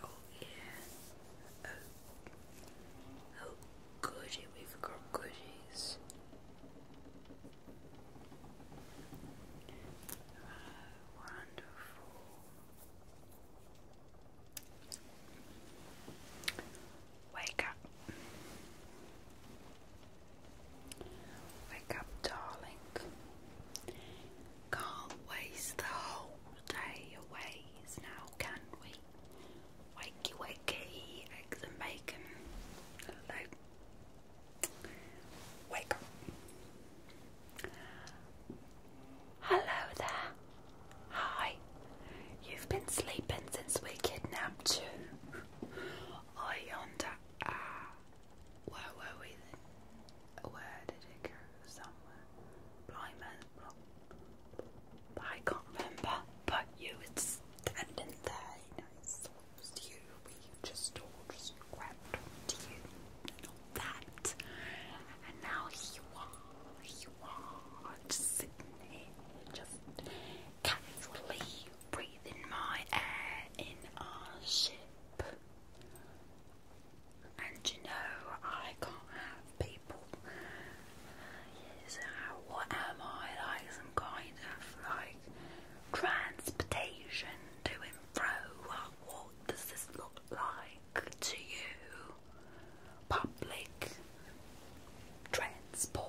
Oh yeah. Oh, oh goody, we forgot goodies. wonderful. Wake up. Wake up, darling. Can't waste the whole day away now, can we? Wakey, wakey, eggs and bacon. Hello. Wake up. Hello there. Hi, you've been sleeping since we kidnapped you. I yonder. Ah, uh, where were we Where did it go? Somewhere. Blind man's I can't remember, but you were standing there, you know, it you, we just all just grabbed onto you and that. And now here you are, you just sitting here, just casually breathing my air in our ship. And you know, I can't have people. Yes, what am I like? Some kind of like transportation to and fro? What does this look like to you? public transport.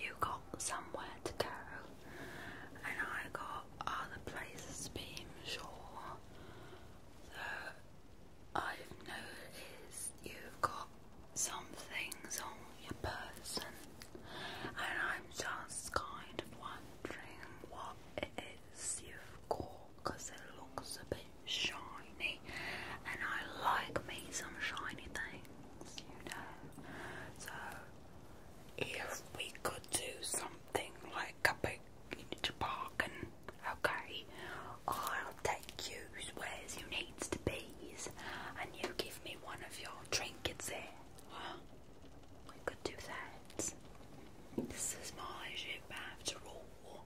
You got somewhere to go, and I got other places to be, sure. I've noticed you've got some things on your person, and I'm just kind of wondering what it silver core it looks a bit shiny and I like me some shiny things, you know. So if we could do something like a big bargain, okay, I'll take you where you needs to be and you give me one of your trinkets here. We could do that. This is my ship after all.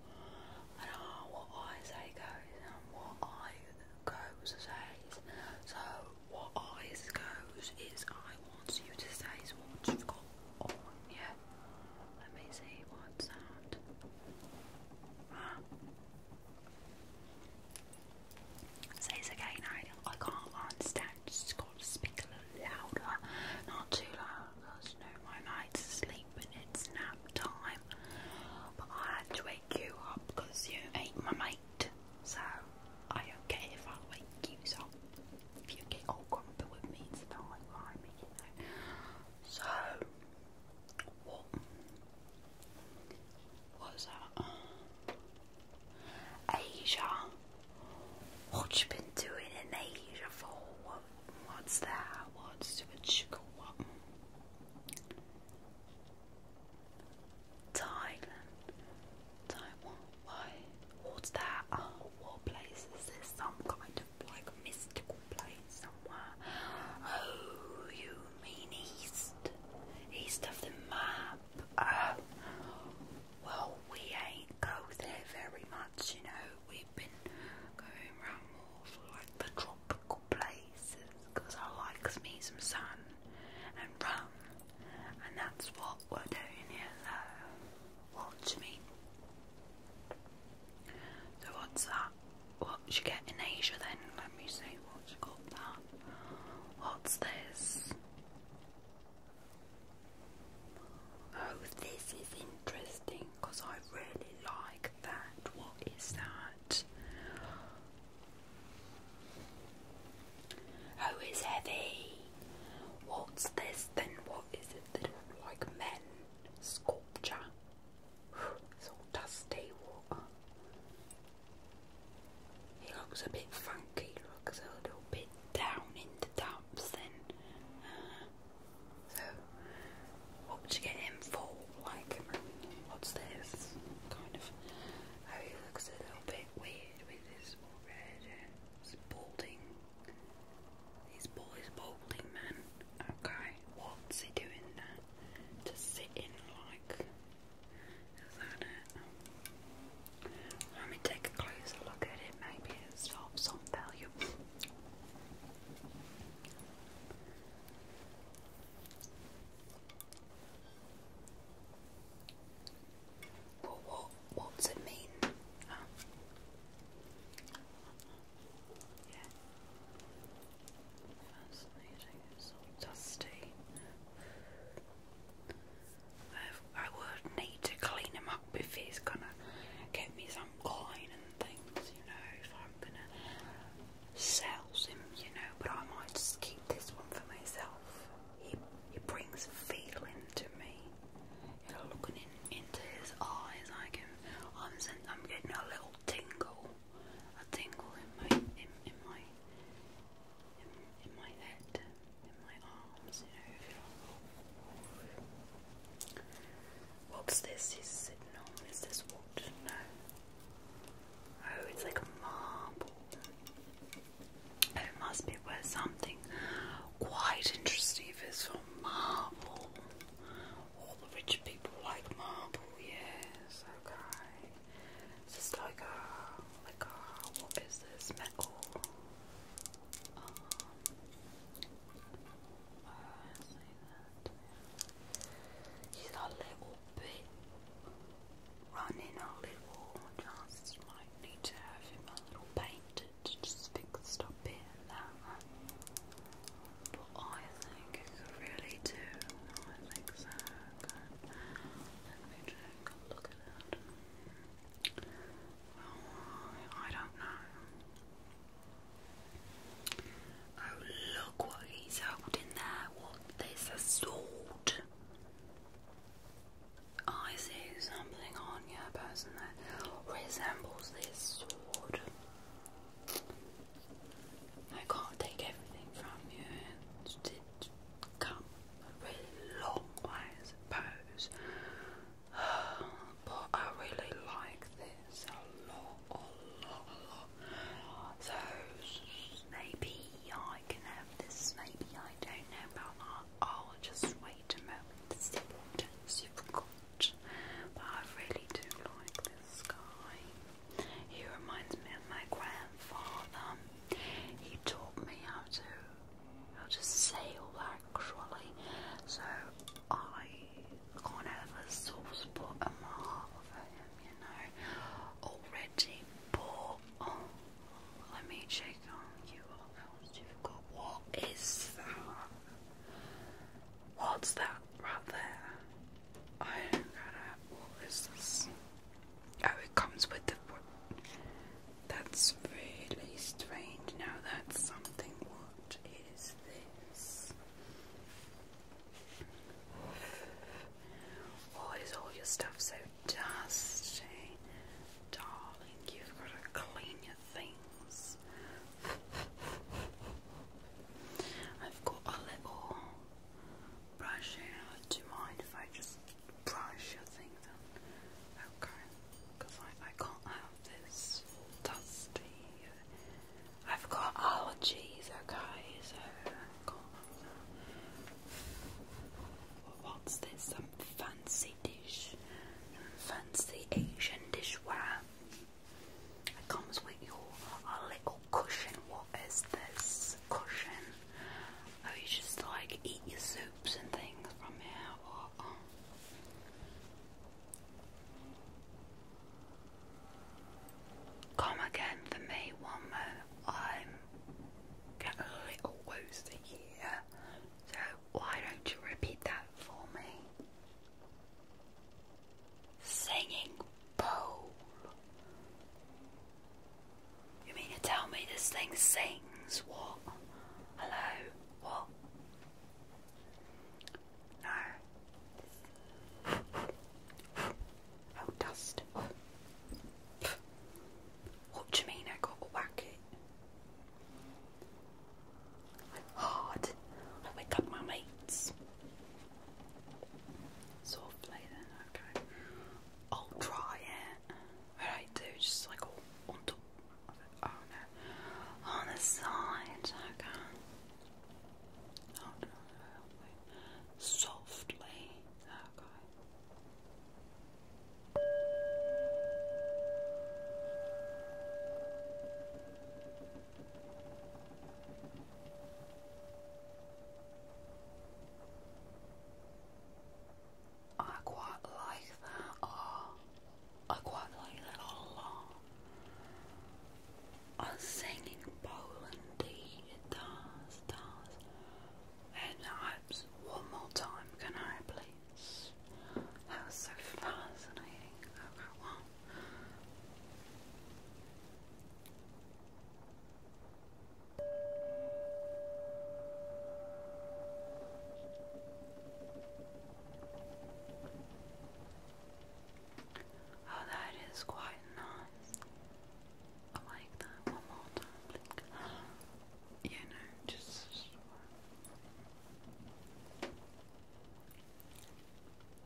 I what I say goes and what I goes says. So what I goes is I want you to say what you've got yeah? Let me see what sound. Huh? Says again, I, I can't understand just got to speak a little louder, not too loud, because you know my night's asleep and it's nap time. But I had to wake you up because you ate my mate, so I don't if I wake you up. If you get all grumpy with me, it's fine I'm you know. So, what was that? Asia. What you been doing in Asia for? What, what's that? What's what you got? What? Thailand, Taiwan. Why? What's that? Oh, what place is this? Some kind of like mystical place somewhere. Oh, you mean east? East of the map. Oh, well, we ain't go there very much, you know. We've been going around more for like the tropical places because I like me some sun and rum, and that's what we're doing here. Though. Watch me. So what's that? What you get in Asia then? Let me see what you that. What's this? Oh, this is interesting because I really like that. What is that? Oh, it's heavy. What's this then? What is it that like men sculpture? It's all dusty water. He looks a bit funky, looks a little bit down in the dumps so, what would you get him for? Like, what's this? Kind of. Oh, he looks a little bit weird with his red. balding. He's bald, balding, man. Okay, what's he doing there? To sit like. Is that it? Let me take a closer look at it, maybe it's of some value. Well, what, what's it mean? Oh. Yeah. Fascinating, it's all dusty. I would need to clean him up if he's gonna give me some coin and things, you know, if I'm gonna sell him, you know, but I might just keep this one for myself. He, he brings feeling to me. looking into his eyes, I can, I'm, I'm getting a little tingle, a tingle in my, in, my, in my head. What's this? Is it normal? Is this what? No. Oh, it's like marble. Oh, it must be worth something. Quite interesting it's from marble. All the rich people like marble, yes, okay. Is this like a, like a, what is this, metal? Um, uh, say He's a little bit running a little. Just might need to have him a little painted, just fixed up here and there. But I think it could really do. I think so. Let me take look at it. Oh, I don't know. Oh, look what he's holding there. What? a sword. I see something on your person that resembles this sword. I can't take everything from you. come a really long way, I suppose. but I really like this a lot, a lot, a lot. So maybe I can have this, maybe I don't know about that. I'll just wait a moment to see But I really do like this guy. He reminds me of my grandfather. He taught me how to I'll just say all that cruelly. So I can of have a soft spot in my heart you know, already. But oh, let me check on you. What else you've got? What is that? What's that right there? I don't get What is this? Oh, it comes with the. That's really strange. Now that's something. What is this? Why is all your stuff so dusty? Darling, you've got to clean your things. I've got a little brush here. Do you mind if I just brush, I think, then. Okay. Because I, I can't have this dusty. Uh, I've got allergies, okay, so I can't have that. What's this? Some fancy dish. Fancy Asian dishware. It comes with your a little cushion. What is this? Cushion. Oh, you just like eat your soups and things from here. Or, oh. Come again for me one moment. I'm getting a little woozy here. So why don't you repeat that for me? Singing bowl. You mean to tell me this thing sings? What? Hello? What? No. Oh, dust. What do you mean I got a whack it? Hard. I wake up my mates. Softly then, okay. I'll try it. Alright, do just like all on Oh, on the, on the side. Okay. Softly. Okay. I quite like that. Oh, I quite like that a lot. I sing in Polandy, it does, does. And I, one more time, can I please? That so fascinating. Okay, oh, Oh, that is quite nice. I like that. One more time, please. Yeah, just.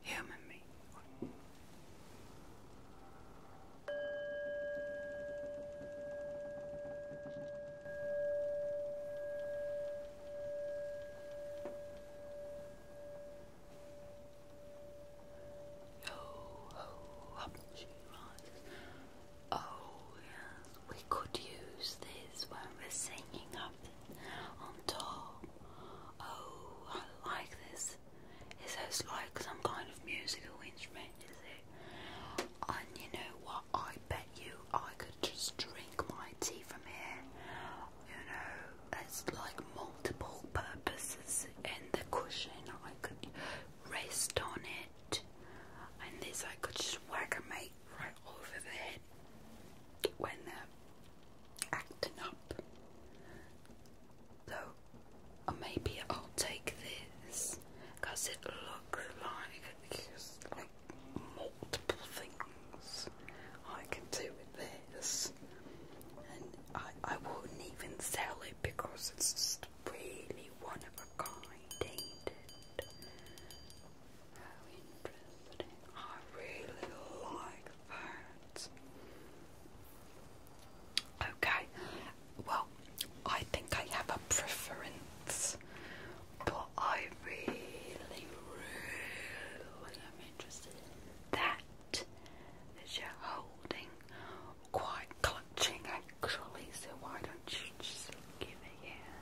Human me. Yo ho, up she rises. Oh yes, we could use this when we're singing up on top. Oh, I like this. Is this like some kind of musical instrument, is it? And you know what? I bet you I could just drink my tea from here. You know, it's like multiple purposes in the cushion. I could rest on it, and this I could just whack a right over the when they're acting up. So, or uh, maybe I'll take this because it looks like multiple things I can do with this, and I, I wouldn't even sell it because it's just really one of a kind, How interesting. I really like that. Okay, well, I think I have a preference but I really, really am interested in that you're holding, quite clutching actually. So why don't you just give it here?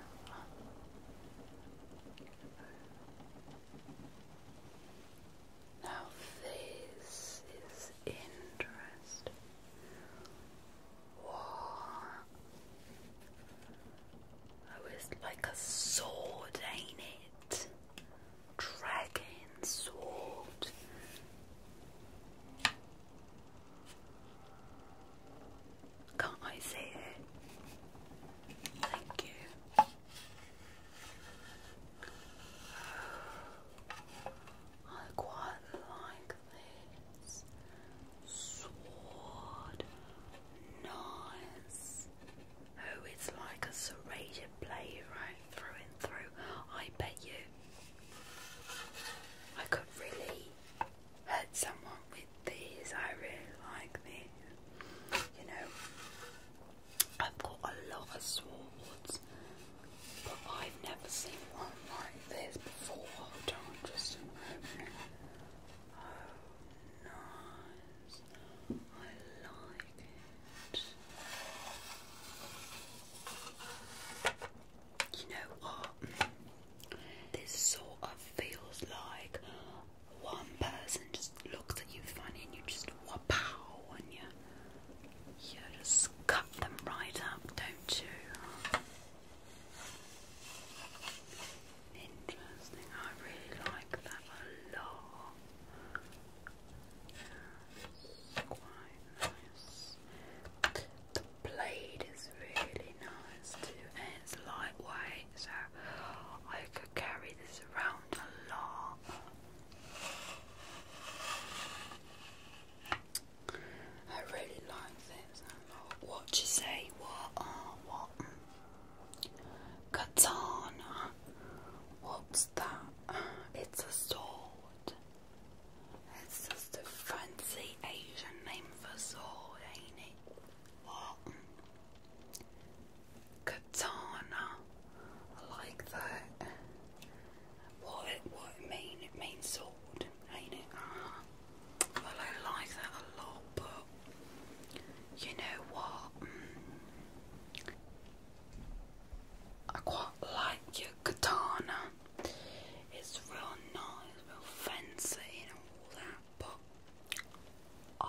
Now this is interesting. Oh, was like a sword, ain't it? Dragon sword. Can't I see it? Thank you. I quite like necklace, sword, knives. Oh, it's like a serrated blade right through and through. I bet you I could really hurt someone with these. I um, really like these. You know, I've got a lot of swords, but I've never seen one this before. Hold just a moment. Oh, nice. I like You know what? This sort of feels like one person just looks at you funny and you just wow and you, you just cut them right up, don't you? Interesting. I really like that a lot. quite nice. The blade is really nice too, and it's lightweight, so I could carry this around a lot. I really like this What you say? What? Uh, what? Mm. Katana. What's that? It's a sword. It's just a fancy Asian name for sword, ain't it? What? Mm. Katana. I like that. What it, what it mean? It means sword, ain't it? Well, I like that a lot, but you know what? Mm. I quite like your katana. It's real nice, real fancy, and all that. But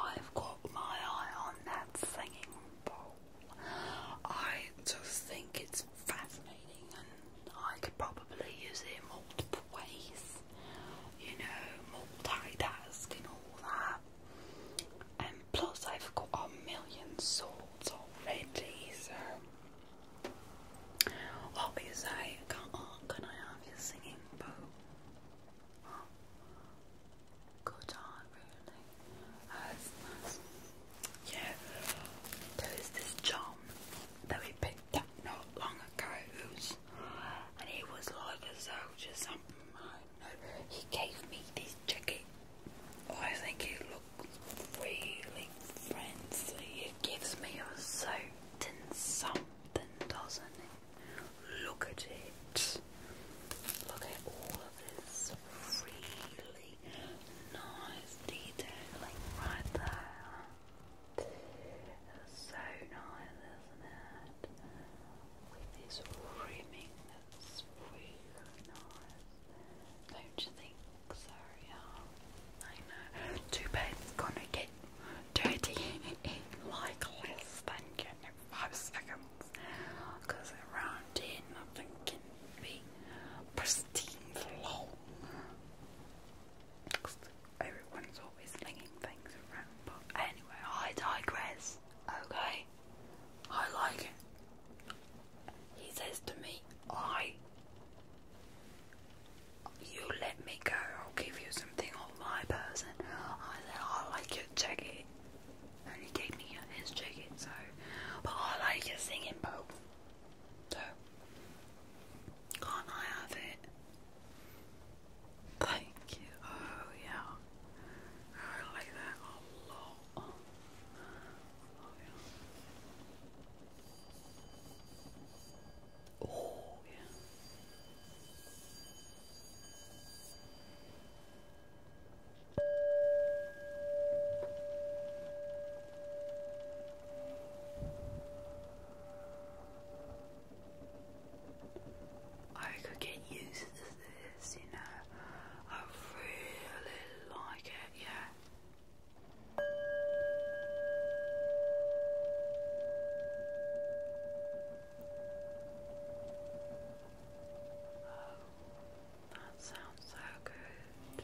I've got my eye on that singing bowl. I just think it's fascinating I could probably use it multiple ways, you know, multitask and all that. And plus, I've got a million swords already, so what would Can, oh, can I have your singing bow? Good on, really. Yeah, there is this charm that we picked up not long ago and he was like a soldier something I he gave me this jacket I think it looks really fancy it gives me a soaked in something doesn't it look at it look at all this really nice detailing right there so nice, isn't it? With this rimming, that's really nice. Don't you think? Sorry, oh, I know. Too bad it's gonna get dirty in like less than getting five seconds. Because around here nothing can be pristine for long. Everyone's always slinging things around, but anyway, I digress. Okay, I like it. He says to me, I, you let me go, I'll give you something on my person. I said, I like your jacket. And he gave me his jacket, so, but I like your singing bowl can't I have it? Thank you. Oh, yeah. I like that a lot. Oh, yeah. Oh, I could get used to this, you know. I really like it, yeah. Oh, that sounds so good.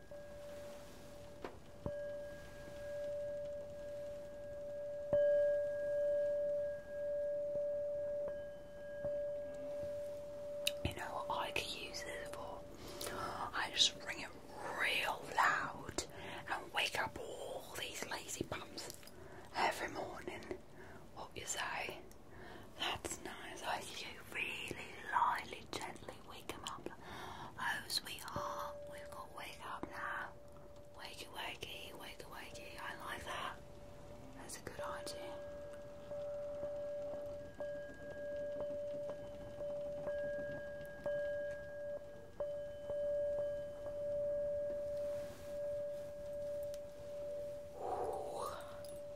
You know what I could use this for? I just ring it real loud and wake up all these lazy bums every morning. What you say? That's nice. I you really lightly, gently we wake him up. Oh, sweetheart, we've got wake up now. Wakey, wakey, wakey, wakey. I like that. That's a good idea. Ooh,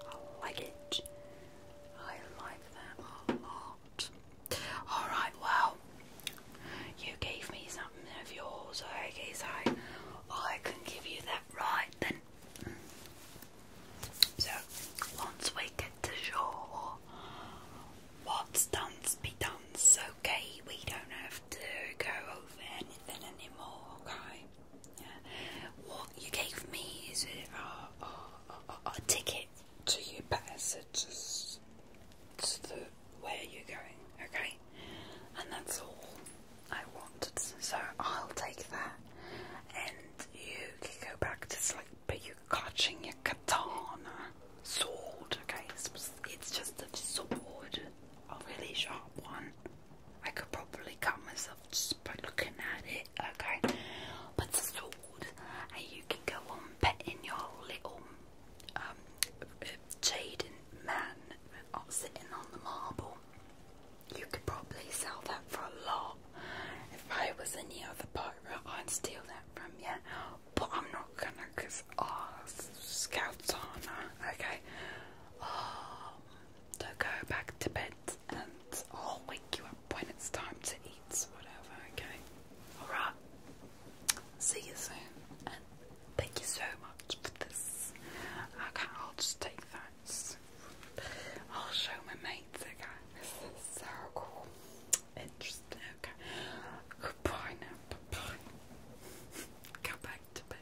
I like it. I like that Alright, well, you gave me something of yours, Okay, guess I, can give you that right then. So, once we get to shore, what's done's be done's okay, we don't have to go over anything anymore, okay? Yeah. What you gave me is a ticket to your passages to the where you're going, okay? And that's all I wanted. So I'll take that and you can go back to sleep, but you're clutching your katana sword, okay? It's just a sword, a really sharp one. I could probably cut myself just by looking at it, okay? But it's a and you can go on petting your little um, jaded man sitting on the marble. You could probably sell that for a lot. If I was any other pirate, I'd steal that from you. But I'm not gonna, cause oh, scouts are Okay, um, oh, so go back to bed, and I'll wake you up when it's time to eat, whatever, okay? Alright. See you soon. thank you so much for this. Okay, I'll just take that. I'll show my mates, okay? so cool. Interesting, okay? Goodbye now. bye Go back to bed.